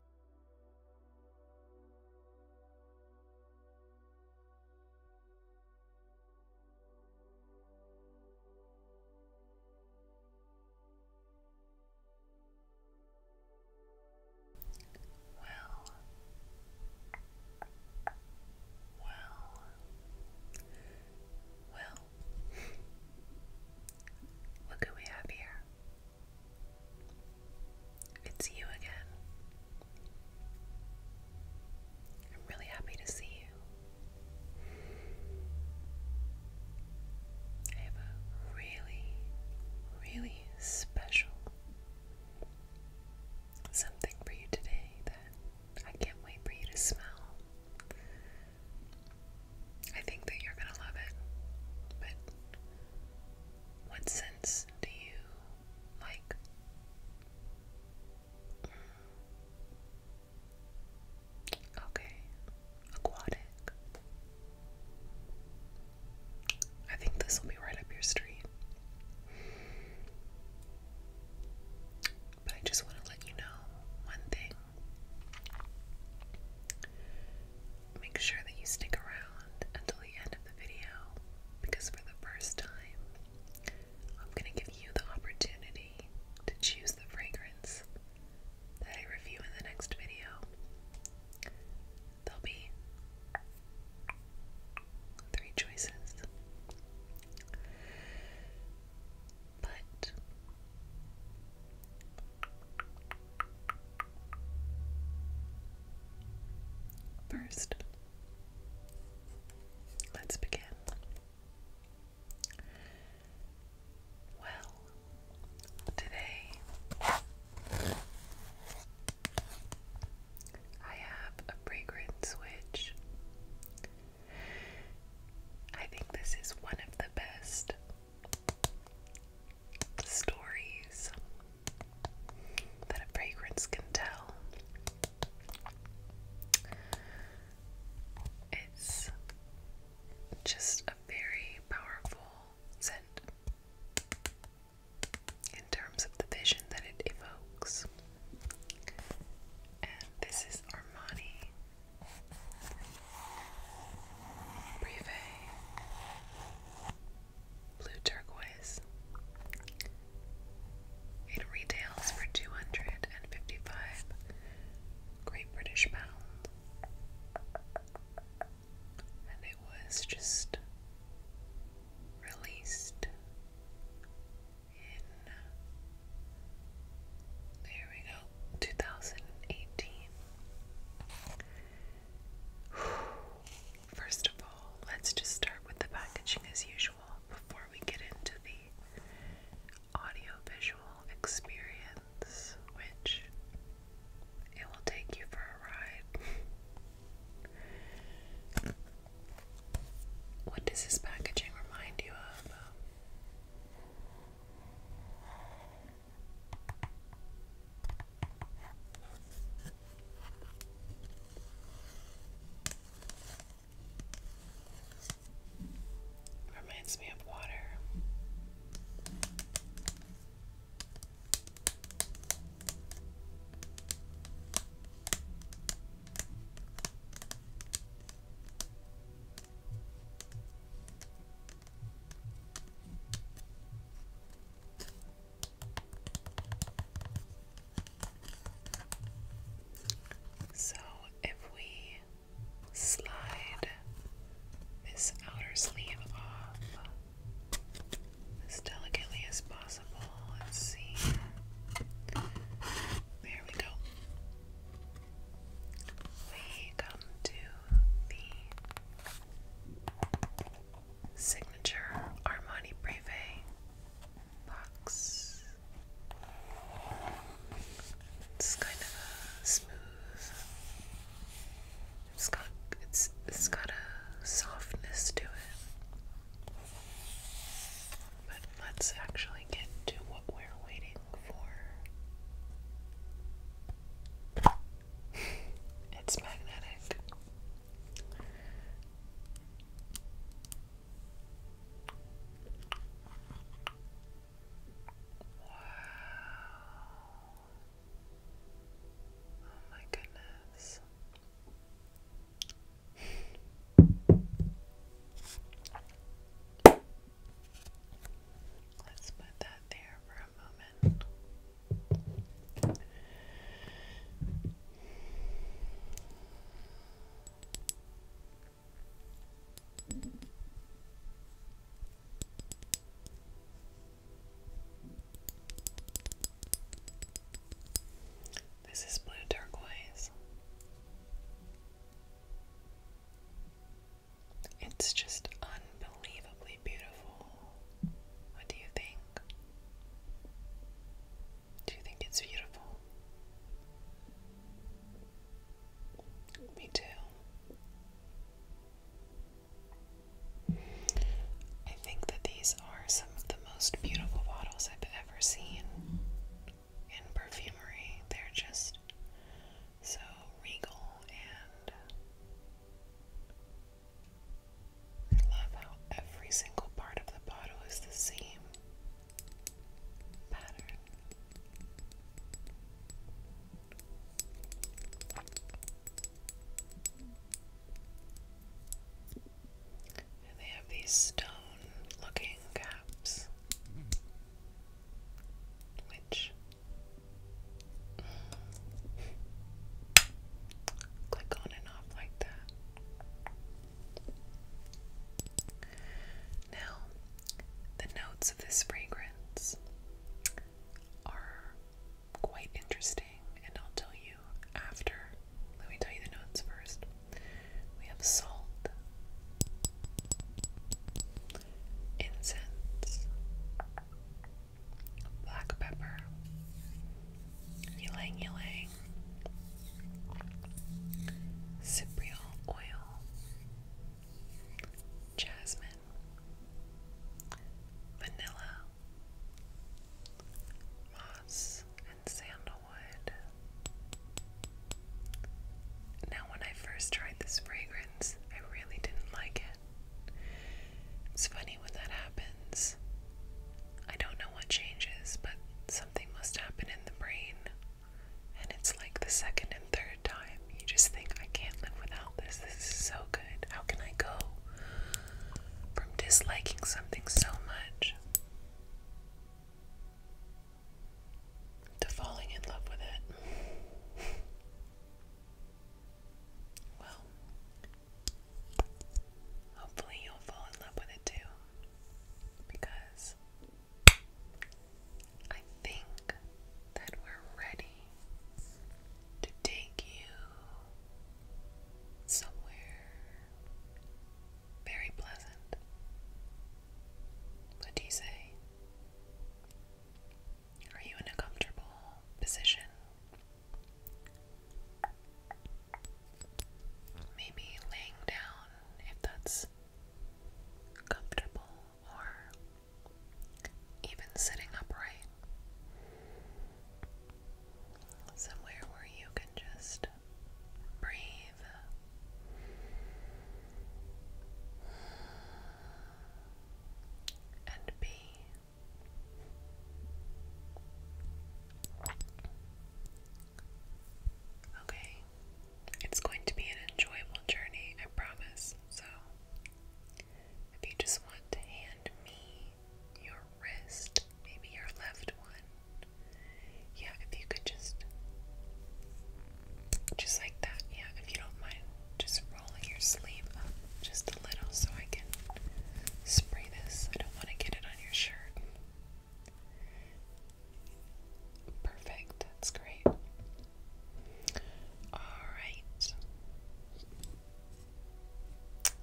Well, well, well, look who we have here. It's you again. I'm really happy to see you. I have a really, really special something for you today that I can't wait for you to smell. I think that you're gonna love it. But what scents do you like? Okay, aquatic. I think this will be right up your street. But I just want to let you know one thing make sure that you stick around until the end of the video because for the first time, I'm going to give you the opportunity to choose the fragrance that I review in the next video. There'll be three choices. But First, let's begin. Well, today I have a fragrance which I think this is one of the best stories that a fragrance can tell. It's just a very powerful scent in terms of the vision that it evokes. And this is Armani Privé, blue turquoise. It retails for two hundred and fifty-five Great British Pound, and it was just released in. There we go, two thousand and eighteen. First of all, let's just start with the packaging as usual before we get into the audio experience, which it will take you for a ride. What does this packaging remind you of? Reminds me of water. So if we slide this outer sleeve off as delicately as possible, see. There we go. We come to the Signature Armani Privé box. It's kind of a smooth. It's got it's it's got a softness to it. But let's actually get to what we're waiting for it's magnetic. Wow. Oh my goodness. Let's put that there for a moment. This is blue turquoise. It's just unbelievably beautiful. What do you think? Do you think it's beautiful? Me too. I think that these are some of the most beautiful bottles I've ever seen in perfumery. They're just so regal and I love how every single part of the bottle is the same pattern. And they have these stone looking caps, mm. which Click on and off like that. Now, the notes of this fragrance are quite interesting, and I'll tell you after. Let me tell you the notes first. We have salt, incense, black pepper, ylang ylang, cypriol oil, jasmine, vanilla, moss, and sandalwood. Now, when I first tried this fragrance, I really didn't like it. It's funny when that happens. I don't know what changes, but something must happen in the brain. And it's like the second and third time, you just think, I can't live without this. This is so good. How can I go from disliking something so much to falling in love with it? Well, hopefully you'll fall in love with it too. Because I think that we're ready to take you somewhere very pleasant. What do you say? Are you in a comfortable position? Maybe laying down if that's comfortable, or even sitting upright. Somewhere where you can just breathe and B. Okay, it's going to be an enjoyable journey, I promise. So, if you just want to hand me your wrist, maybe your left one, yeah, if you could just, just like that, yeah, if you don't mind, just rolling your sleeve up just a little so I can spray this. I don't want to get it on your shirt. Perfect, that's great. Alright.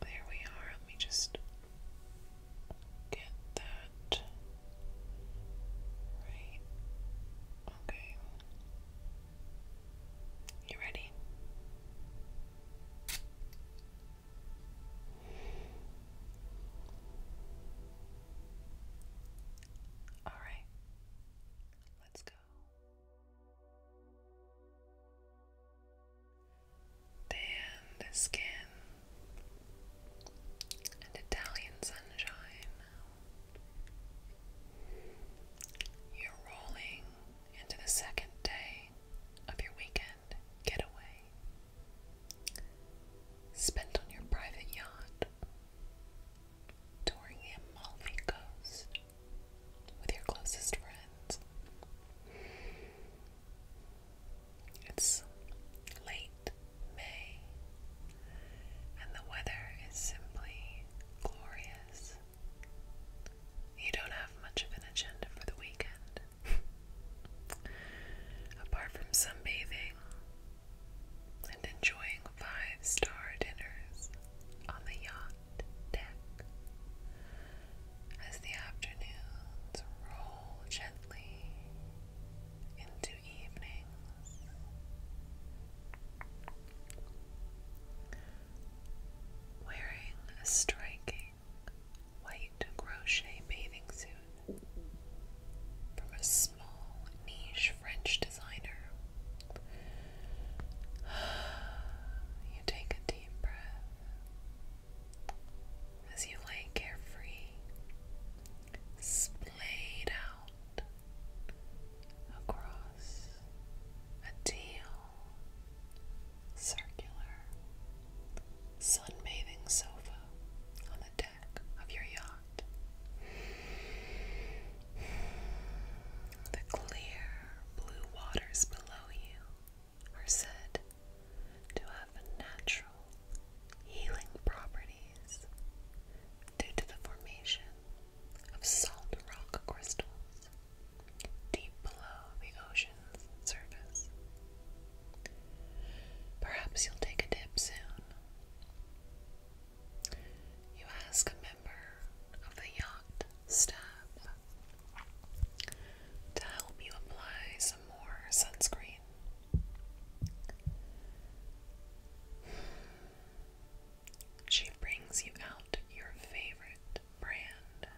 There we are. Let me just get that right. Okay. You ready? All right, let's go. Tan the skin and Italian sunshine you're rolling into the second day of your weekend getaway, spent on your private yacht, touring the Amalfi Coast with your closest friends. It's late May, and the weather is simply glorious. You don't have much of an agenda for the weekend. Apart from sunbathing and enjoying five star dinners on the yacht deck. As the afternoons roll gently into evenings, wearing a striking white crochet bathing suit from a small niche French designer. You take a deep breath as you lay carefree, splayed out across a teal, circular, sunbathing sofa on the deck of your yacht. The clear blue waters below you are said to have natural healing properties due to the formation of salt rock crystals deep below the ocean's surface. Perhaps you'll take a dip soon. You ask a member of the yacht staff to help you apply some more sunscreen. She brings you out your favorite brand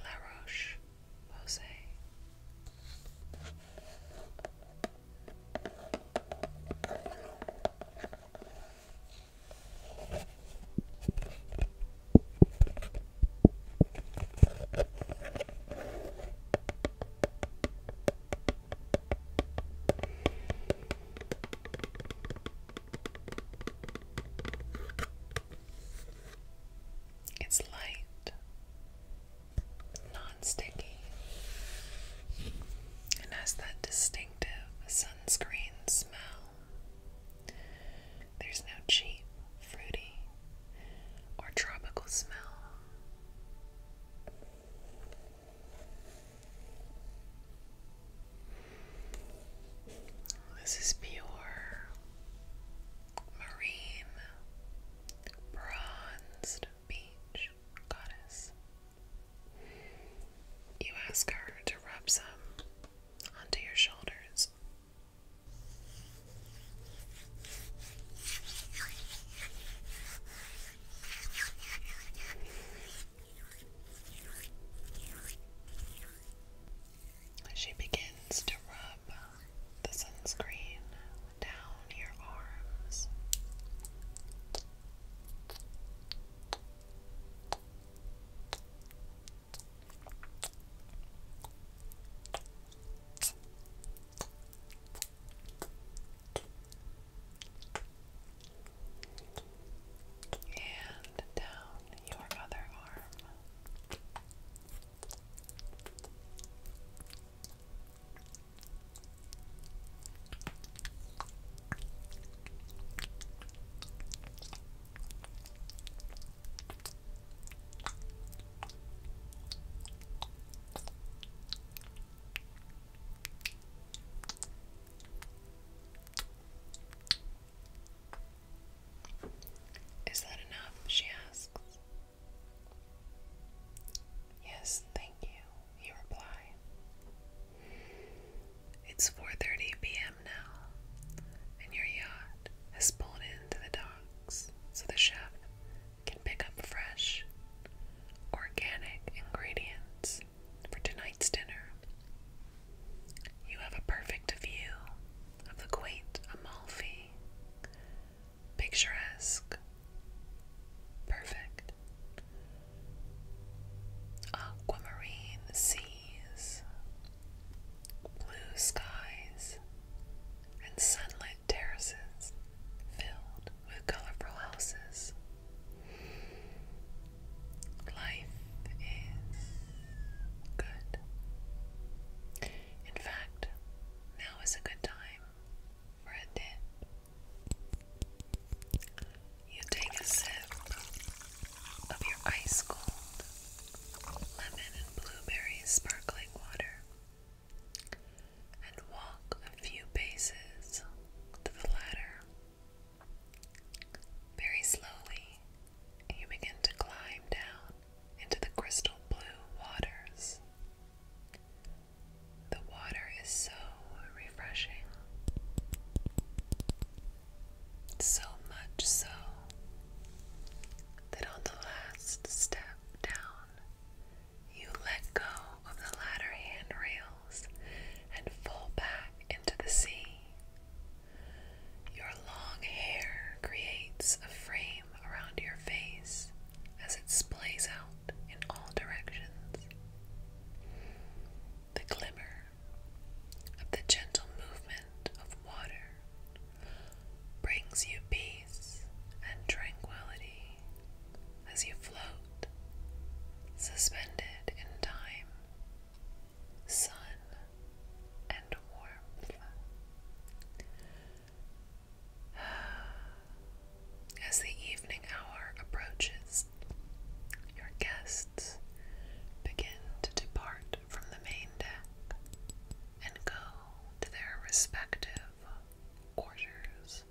La Roche Posay. It's light, non sticky, and has that distinctive sunscreen smell. There's no cheap, fruity, or tropical smell. Oh, this is pure marine bronzed beach goddess. You ask her to rub some onto your shoulders. She begins to rub the sunscreen down your arms and down your other arm. Is that enough? She asks. Yes, thank you, He replies. It's 4:30 p.m. now, and your yacht has pulled into the docks so the chef can pick up fresh, organic ingredients for tonight's dinner. You have a perfect view of the quaint Amalfi. Picturesque. Perfect. Aquamarine seas, blue skies, and sunlit terraces filled with colorful houses. Life is good. In fact, now is a good time for a dip. You take a sip of your ice cold lemon and blueberry sparkling water and walk a few paces to the ladder very slowly, you begin to climb down into the crystal blue waters. The water is so refreshing. So much so that on the last step down, you let go of the ladder handrails and fall back into the sea. Your long hair creates a frame around your face as it splays out in all directions. The glimmer of the gentle movement of water brings you peace and tranquility as you float, suspended in time, sun, and warmth. As the evening hour approaches, your guests begin to depart from the main deck and go to their respective quarters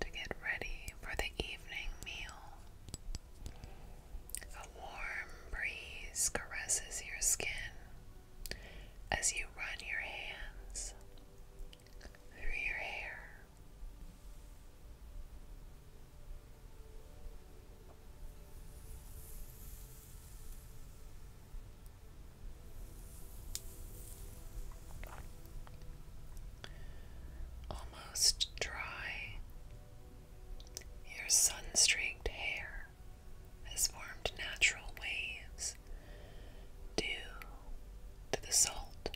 to get ready for the evening meal. A warm breeze caresses your skin as you run your hands through your hair almost dry. Your sun streaked hair has formed natural waves due to the salt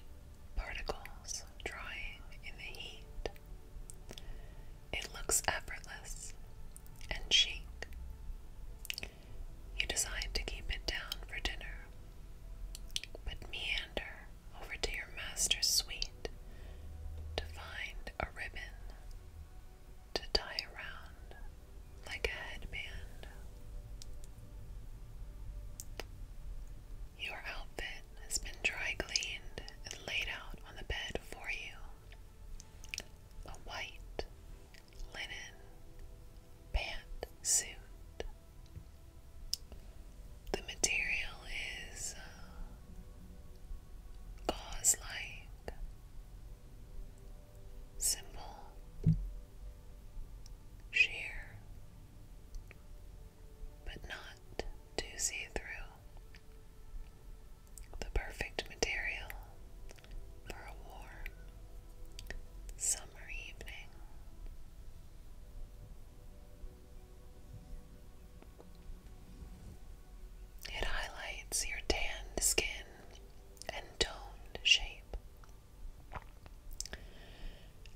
particles drying in the heat. It looks effortless and chic. You decide to keep it down for dinner, but meander over to your master suite to find a ribbon to tie around like a headband. Your outfit has been dry cleaned and laid out on the bed for you. A white linen pant suit the material is uh, gauze like, simple, sheer, but not too see through. The perfect material for a warm summer evening. It highlights your tanned skin and toned shape.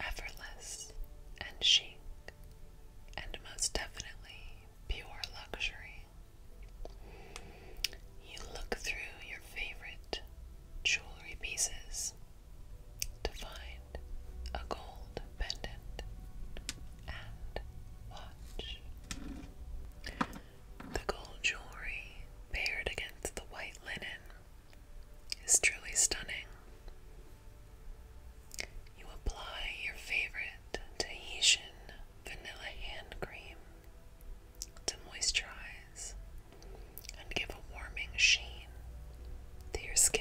Effortless and chic, and most definitely pure luxury. You look through your favorite jewelry pieces to find a gold pendant and watch. The gold jewelry paired against the white linen is truly stunning. You apply your favorite Tahitian vanilla hand cream to moisturize and give a warming sheen to your skin.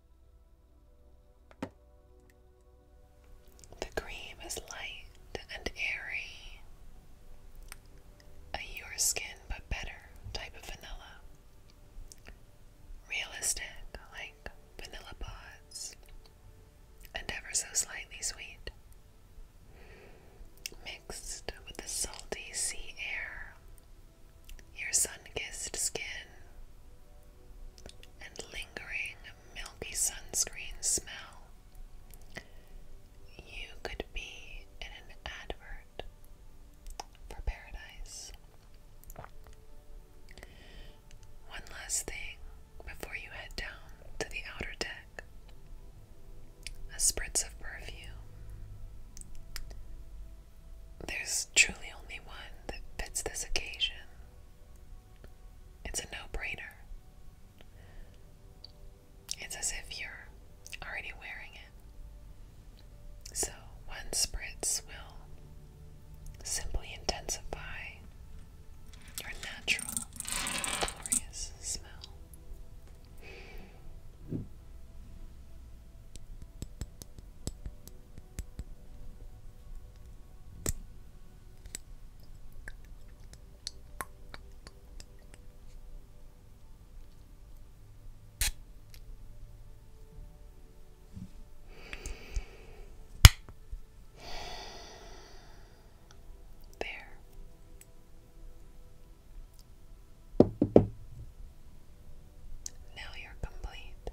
The cream is light and airy, a your skin but better type of vanilla. Realistic, like vanilla pods, and ever so slightly sweet. Mixed with the salty sea air, your sun kissed skin, and lingering milky sunscreen smell. You could be in an advert for paradise. One last thing before you head down to the outer deck a spritz of perfume. There's truly only one that fits this occasion. It's a no-brainer. It's as if you're already wearing it. So, one spritz will simply intensify your natural, glorious smell. There. Now you're complete.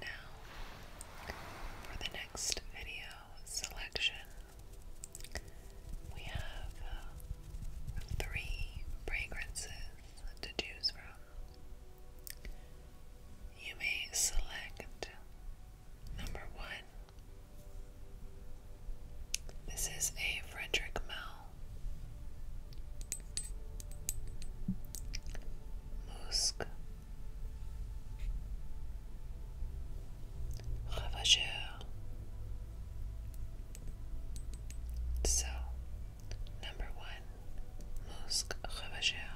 Now, for the next video selection, we have uh, three fragrances to choose from. You may select Number one. This is a Frederick Mell. Musc. Ravageur. So, number one, Musc Ravageur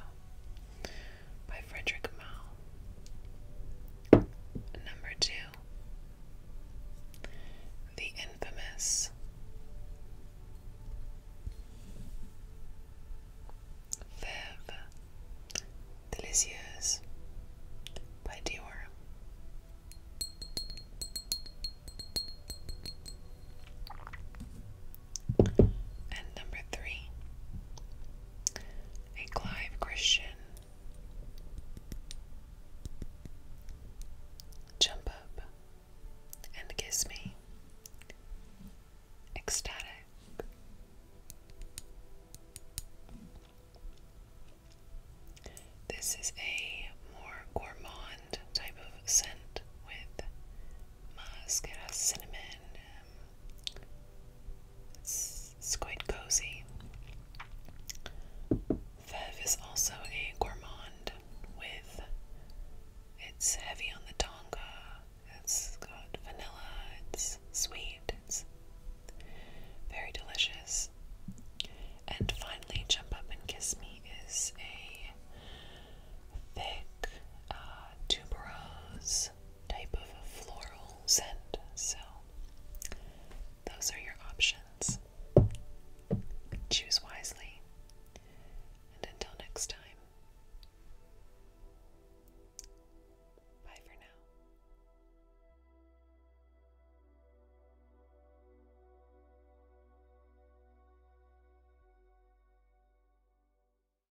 by Frederick Mao. Number two, the infamous Fève Delicieuse by Dior. And number three, a Clive Christian jump up and kiss me. Ecstatic. This is a more gourmand type of scent with mascara, cinnamon. Um, it's, quite cozy. Veve is also a gourmand with. It's heavy on the tonga. It's got vanilla. It's sweet. It's very delicious. And finally, Jump Up and Kiss Me is a thick uh, tuberose type of floral scent. So, those are your options. Choose wisely. And until next time, bye for now.